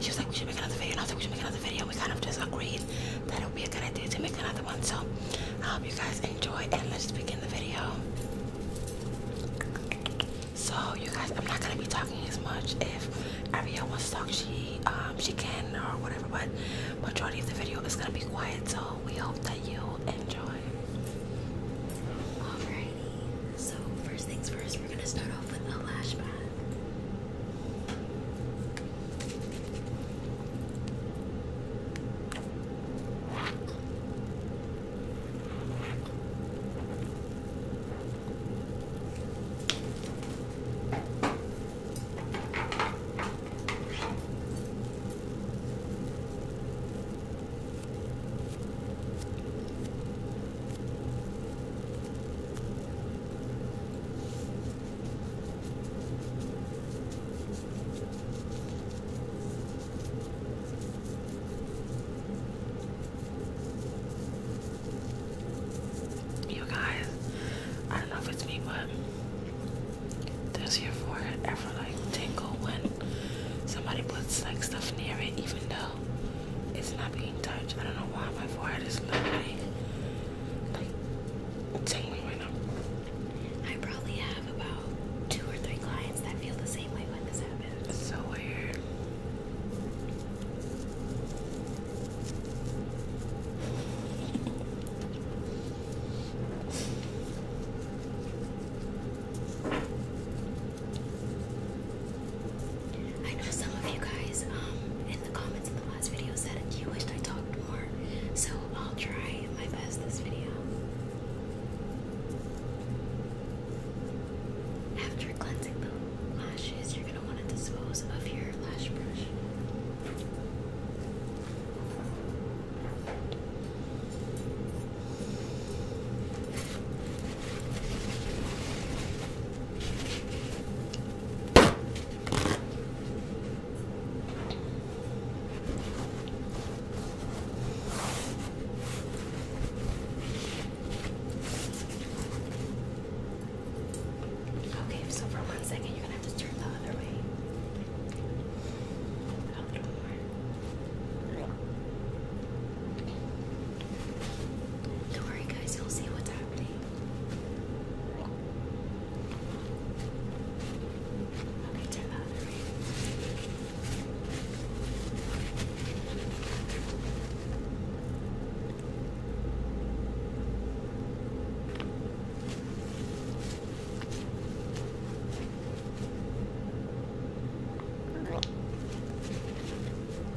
she was like, we should make another video. I was like, we should make another video. We kind of just agreed that it would be a good idea to make another one. So I um, hope you guys enjoy and let's begin the video. So you guys, I'm not gonna be talking as much. If Ariel wants to talk, she um, she can or whatever. But majority of the video is gonna be quiet. So we hope that you enjoy. Alrighty. So, first things first, we're gonna start off with a lash pad. You guys, I don't know if it's me, but does your forehead ever like tingle when somebody puts like stuff near it, even though it's not being touched. I don't know why my forehead is literally like tingling right now. I probably have about two or three clients that feel the same way when this happens. It's so weird. I know some of you guys um, in the comments in the last video said you wished I talked more, so I'll try my best this video. After cleansing the lashes, you're going to want to dispose of your lash brush. Okay, so for one second, you're gonna have to turn the other way. A little more. Don't worry, guys, you'll see what's happening.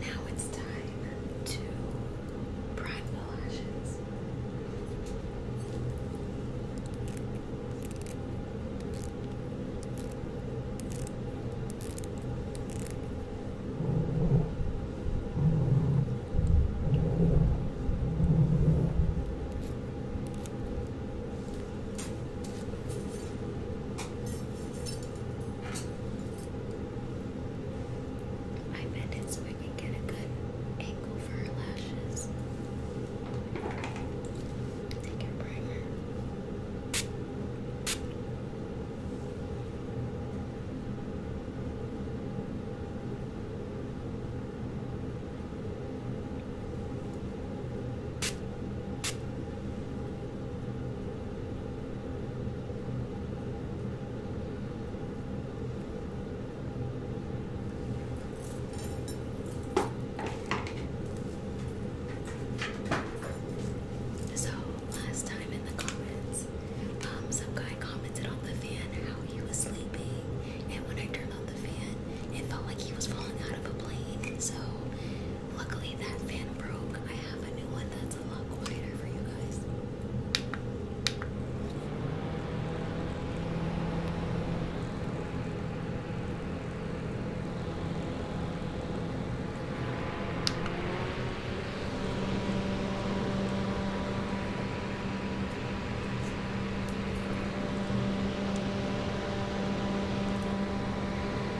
Now it's time to prime the lashes. I bend it so I can get a good angle for her lashes. Take your primer. So last time in the comments, um, some guy commented on the fan how he was sleeping, and when I turned on the fan, it felt like he was falling out of a plane. So Luckily, that fan broke. I have a new one that's a lot quieter for you guys.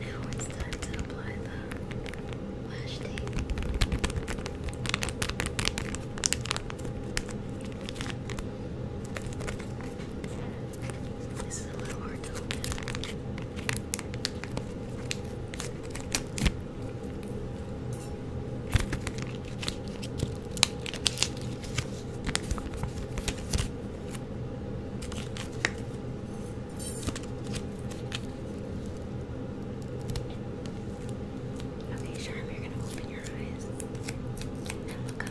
Now it's time to apply the lash tape. This is a little hard to Okay, Sharm, you're gonna open your eyes and look up.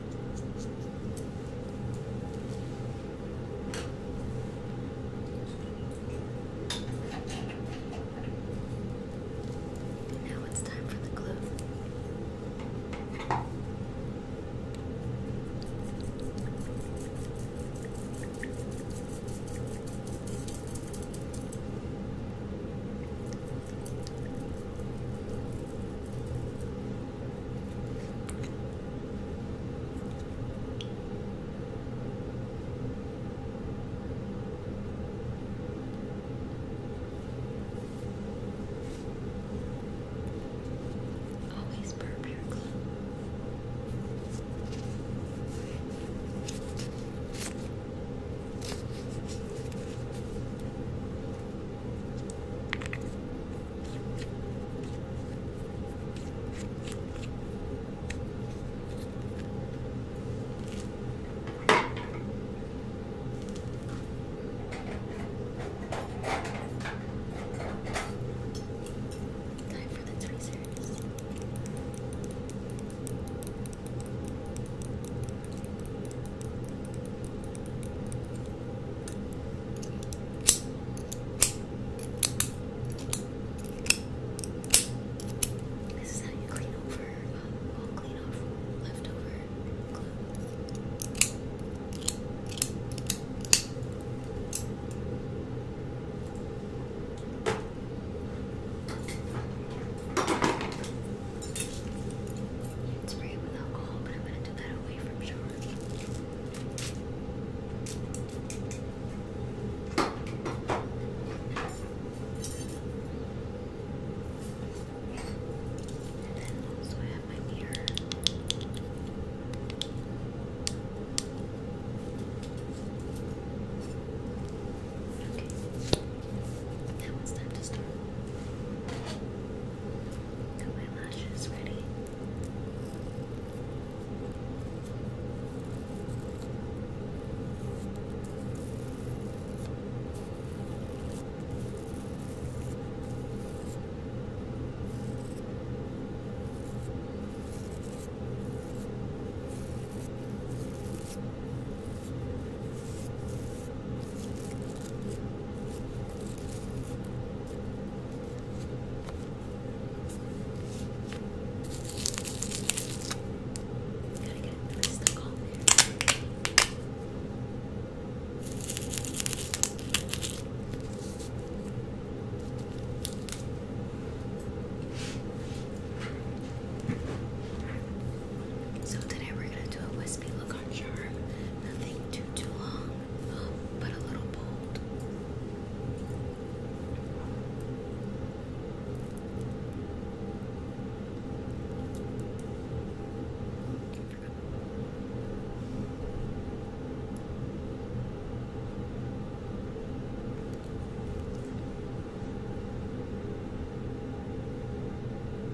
Now it's time for the glue. Always burp your glue. All Time for the tweezers. This is how you clean over, uh, well, clean off leftover clothes. You spray it with alcohol, but I'm going to do that away from shower. And I have my mirror. Okay. Now it's time to start. Got my lashes ready. Gotta so today we're gonna do a wispy look contour. Nothing too too long, but a little bold.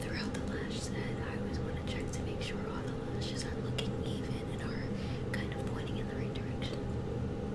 Throughout the lash set, I always want to check to make sure all the lashes are looking even and are kind of pointing in the right direction.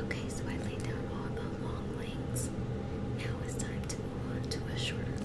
Okay, so I laid down all the long lengths. Now it's time to move on to a shorter length.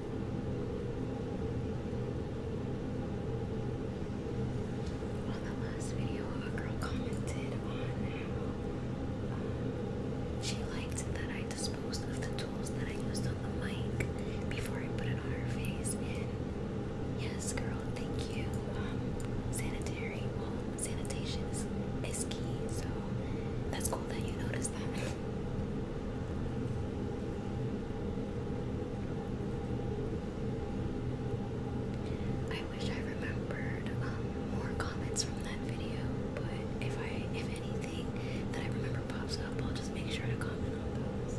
On the last video, a girl commented on she liked that I disposed of the tools that I used on the mic before I put it on her face. And yes, girl, thank you. Um, sanitary, sanitation is key, so that's cool that you noticed that. I wish I remembered um, more comments from that video, but if I, if anything that I remember pops up, I'll just make sure to comment on those.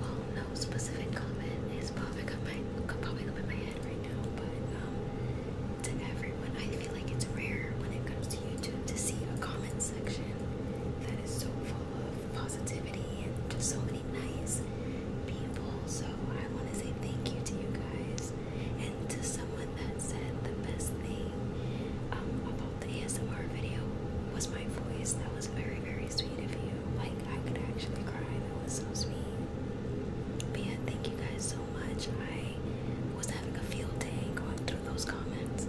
Well, no specific comment is popping up my popping up in my head right now, but um, to everyone, I feel like it's rare when it comes to YouTube to see a comment section that is so full of positivity and just so many nice people. So I want to say thank you to you guys and to someone that said the best thing um, about the ASMR video was my voice. That was very, very sweet of you. Like, I could actually cry. That was so sweet. But yeah, thank you guys so much. I was having a field day going through those comments.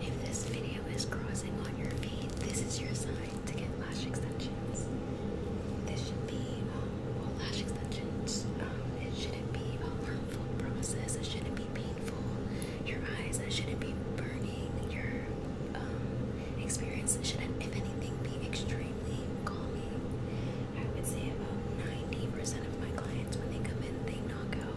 If this video is crossing on your feed, this is your sign to get lash extensions. This should be, um, lash extensions, um, it shouldn't be a harmful process, it shouldn't be painful. Your eyes shouldn't be burning, your um, experience shouldn't, if anything, be extremely calming. I would say about 90% of my clients, when they come in, they knock out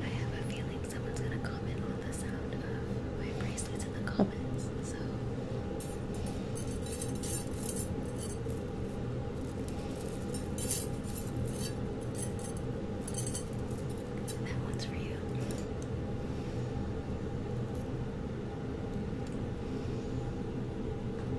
I have a feeling someone's gonna comment on the sound of my bracelets in the comments, so that one's for you.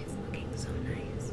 It's looking so nice.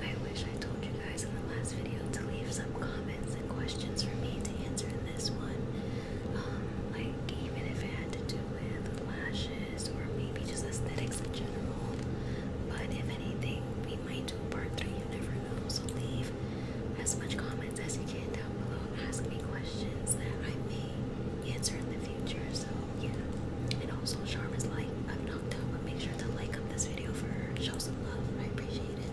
I wish I told you guys in the last video to leave some comments questions for me to answer in this one. Um, like, even if it had to do with lashes or maybe just aesthetics in general. But if anything, we might do part three, you never know. So, leave as much comments as you can down below. Ask me questions that I may answer in the future. So, yeah. And also, Charm is like, i have knocked out, but make sure to like up this video for her. Show some love. I appreciate it.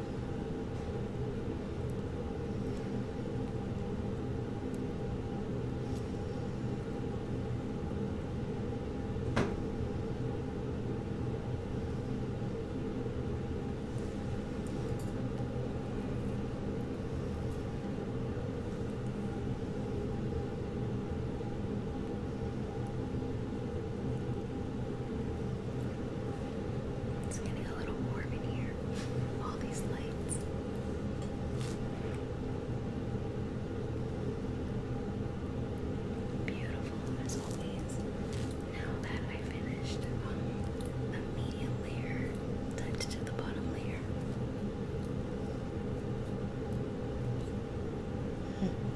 It's getting a little warm in here. All these lights. Beautiful as always. Now that I finished um, the medium layer, touch to the bottom layer. Hmm.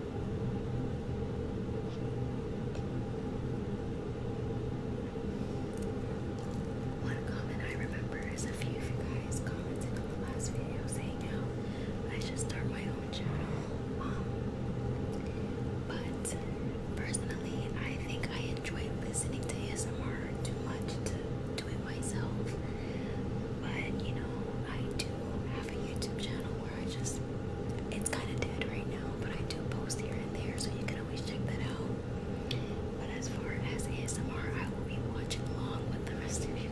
One comment I remember is a few of you guys commented on the last video saying I should start my own channel. Um, but personally, I think I enjoy listening to ASMR too much to do it myself. But you know, I do have a YouTube channel I just, it's kind of dead right now, but I do post here and there, so you can always check that out. But as far as ASMR, I will be watching along with the rest of you guys.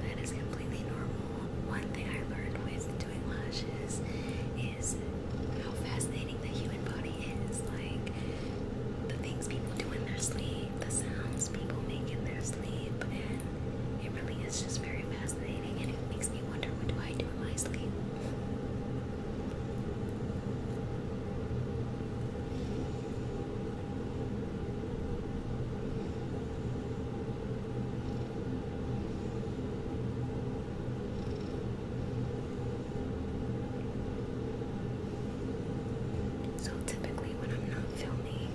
that is completely normal. One thing I learned with doing lashes is how fascinating the human body is. Like the things people do in their sleep, the sounds people make in their sleep, and it really is just very fascinating, and it makes me wonder what do I do in my sleep. So typically when I'm not filming,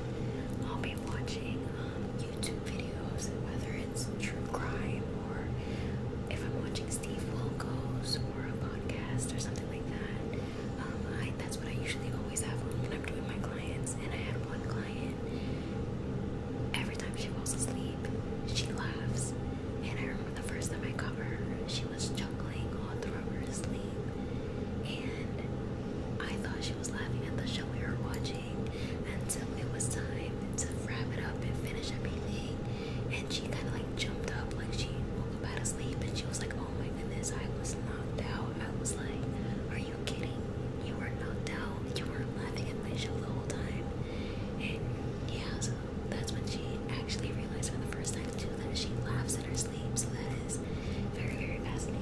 I'll be watching um, YouTube videos, whether it's true crime or if I'm watching Steve Wilkos or a podcast or something like that. Um, that's what I usually always have when I'm doing my clients. And I had one client, every time she falls asleep, she laughs. And I remember the first time I caught her, she was chuckling all through her sleep and I thought she was laughing at the show we were watching until it was time to wrap it up and finish everything. And she kind of like jumped up, like she woke up out of sleep, and she was like, "Oh my goodness, I was knocked out." I was like, "Are you kidding? You were knocked out. You were laughing at my show the whole time." And yeah, so that's when she actually realized for the first time too that she laughs at herself so that is very, very fascinating.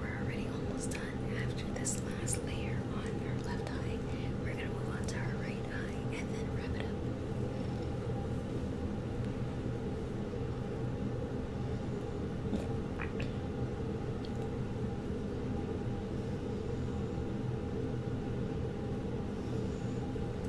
We're already almost done. After this last layer on her left eye, we're going to move on to her right eye and then wrap it up.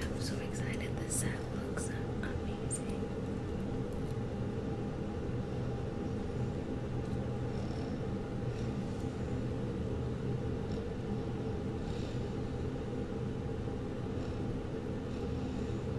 I'm so excited. This set looks amazing.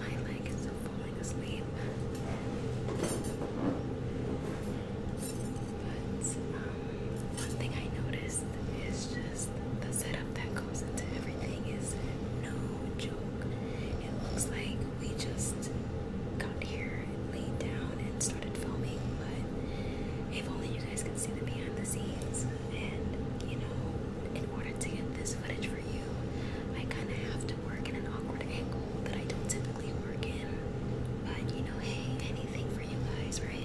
My leg falling asleep. But um, one thing I noticed is just the setup that goes into everything is no joke. It looks like we just got here, laid down, and started filming, but if only you guys could see the behind the scenes. And you know, in order to get this footage for you, do. I kind of have to work in an awkward angle that I don't typically work in. But you know, hey, anything for you guys, right?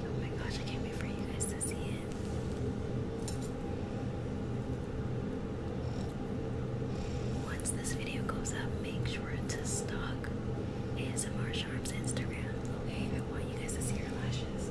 Oh my gosh, I can't wait for you guys to see it. Once this video goes up, make sure to stalk ASMR Sharp's Instagram. Okay, I want you guys to see her lashes.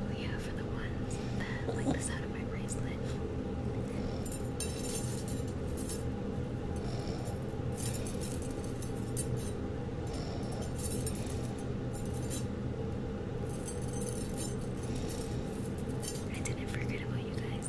Oh yeah, for the ones that like the sound of my bracelet. I didn't forget about you guys.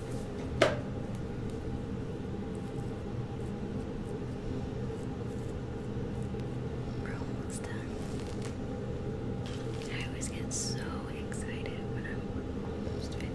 We're almost done. I always get so excited when I'm just finished.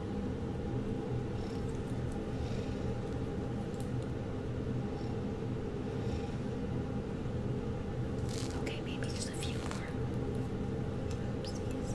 Okay, maybe just a few more. Oopsies.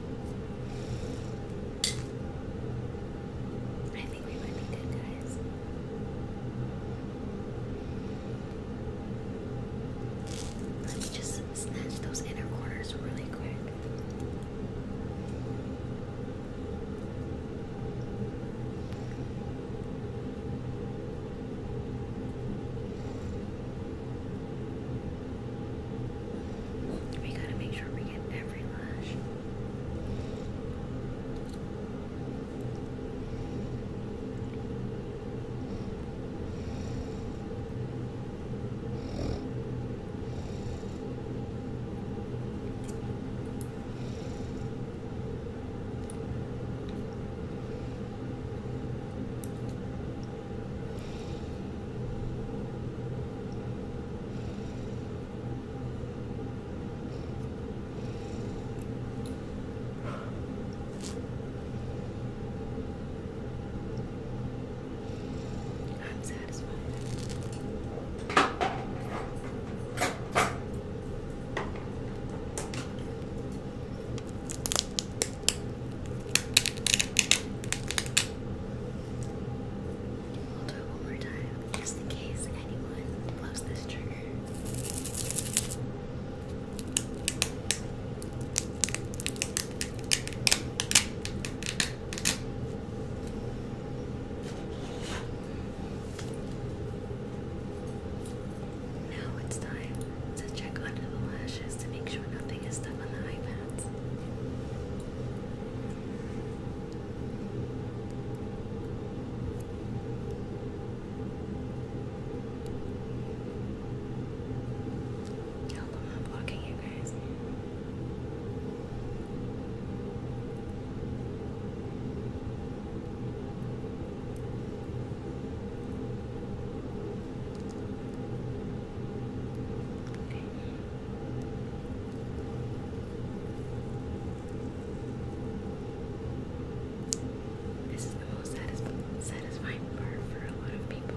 I think we might be good, guys. Let me just snatch those inner corners really quick. We gotta make sure we get every lash. I'm satisfied. We'll do it one more time, just in case anyone blows this trigger. Now it's time to check under the lashes to make sure nothing is stuck on the iPad hands. I'm blocking you guys. Okay. This is the most satisfying part for a lot of people.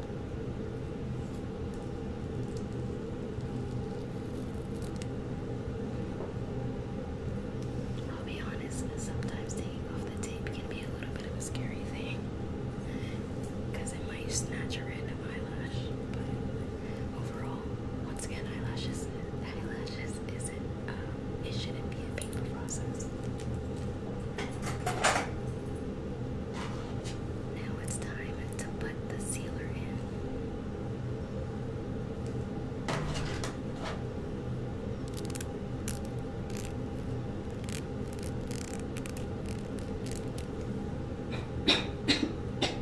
I'll be honest, sometimes taking off the tape can be a little bit of a scary thing because it might snatch a random eyelash. But overall, once again, eyelashes, eyelashes isn't, um, it shouldn't be a painful process. Now it's time to put the sealer in.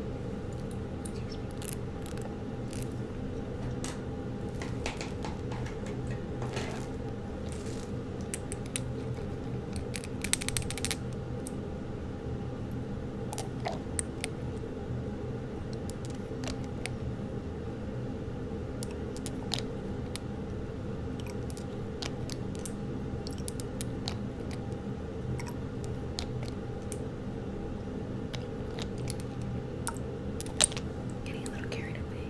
Getting a little carried away.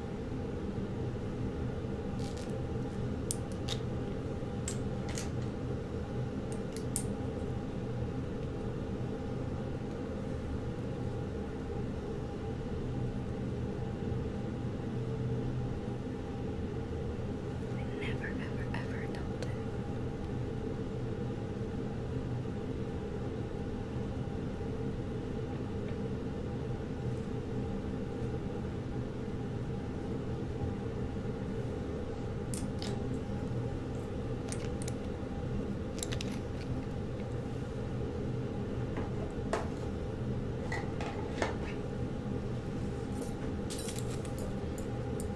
I never, ever, ever adult it.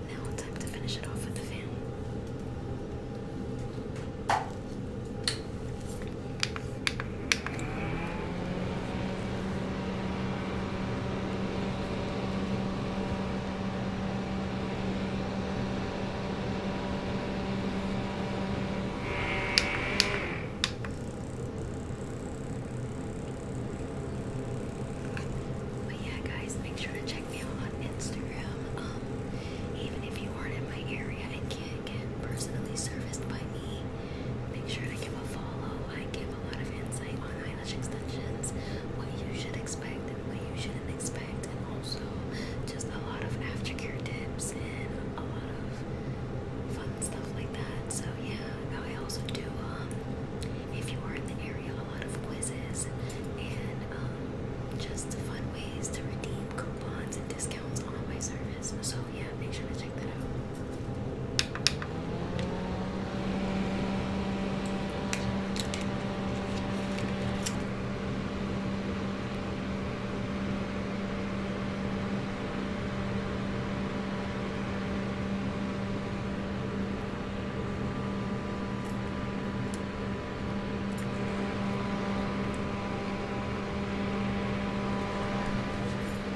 Now time to finish it off with the fan. But yeah, guys, make sure to check me out on Instagram. Um, even if you aren't in my area and and personally serviced by me. Make sure to give a follow. I give a lot of insight on eyelash extensions, what you should expect and what you shouldn't expect, and also just a lot of aftercare tips and a lot of fun stuff like that. So yeah, I also do um if you are in the area a lot of quizzes and um just fun ways to redeem coupons and discounts discounts on my service. So yeah, make sure to check that out.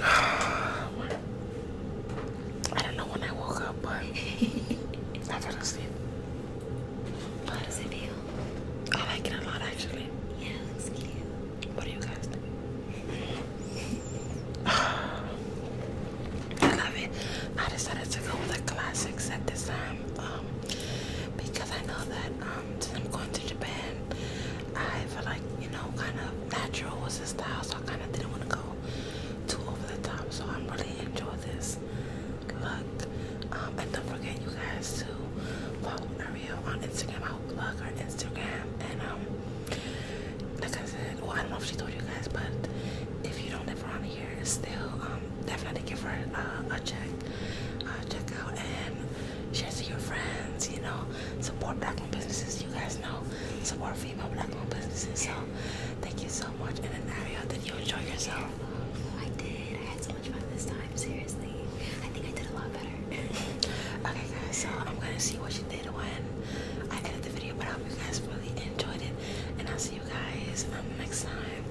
I don't know when I woke up, but I fell asleep. How does it feel? I like it a lot, actually. Yeah, it looks cute. What do you guys think? I love it. I decided to go with a classic set this time um, because I know that. I'm going to Japan, I feel like, you know, kind of natural was the style, so I kind of didn't want to go too over the top. So I'm really enjoy this look. Um, and don't forget, you guys, to follow Maria on Instagram. i hope you like her Instagram. And, um, like I said, well, I don't know if she told you guys, but if you don't live around here, still, um, definitely give her uh, a check. Uh, check out and share it with your friends, you know support black owned businesses. You guys know, support female black owned businesses. So, thank you so much. And then, Ariel, did you enjoy yourself? I did. I had so much fun this time, seriously. I think I did a lot better. okay, guys, so I'm gonna see what you did when I edit the video, but I hope you guys really enjoyed it. And I'll see you guys um, next time.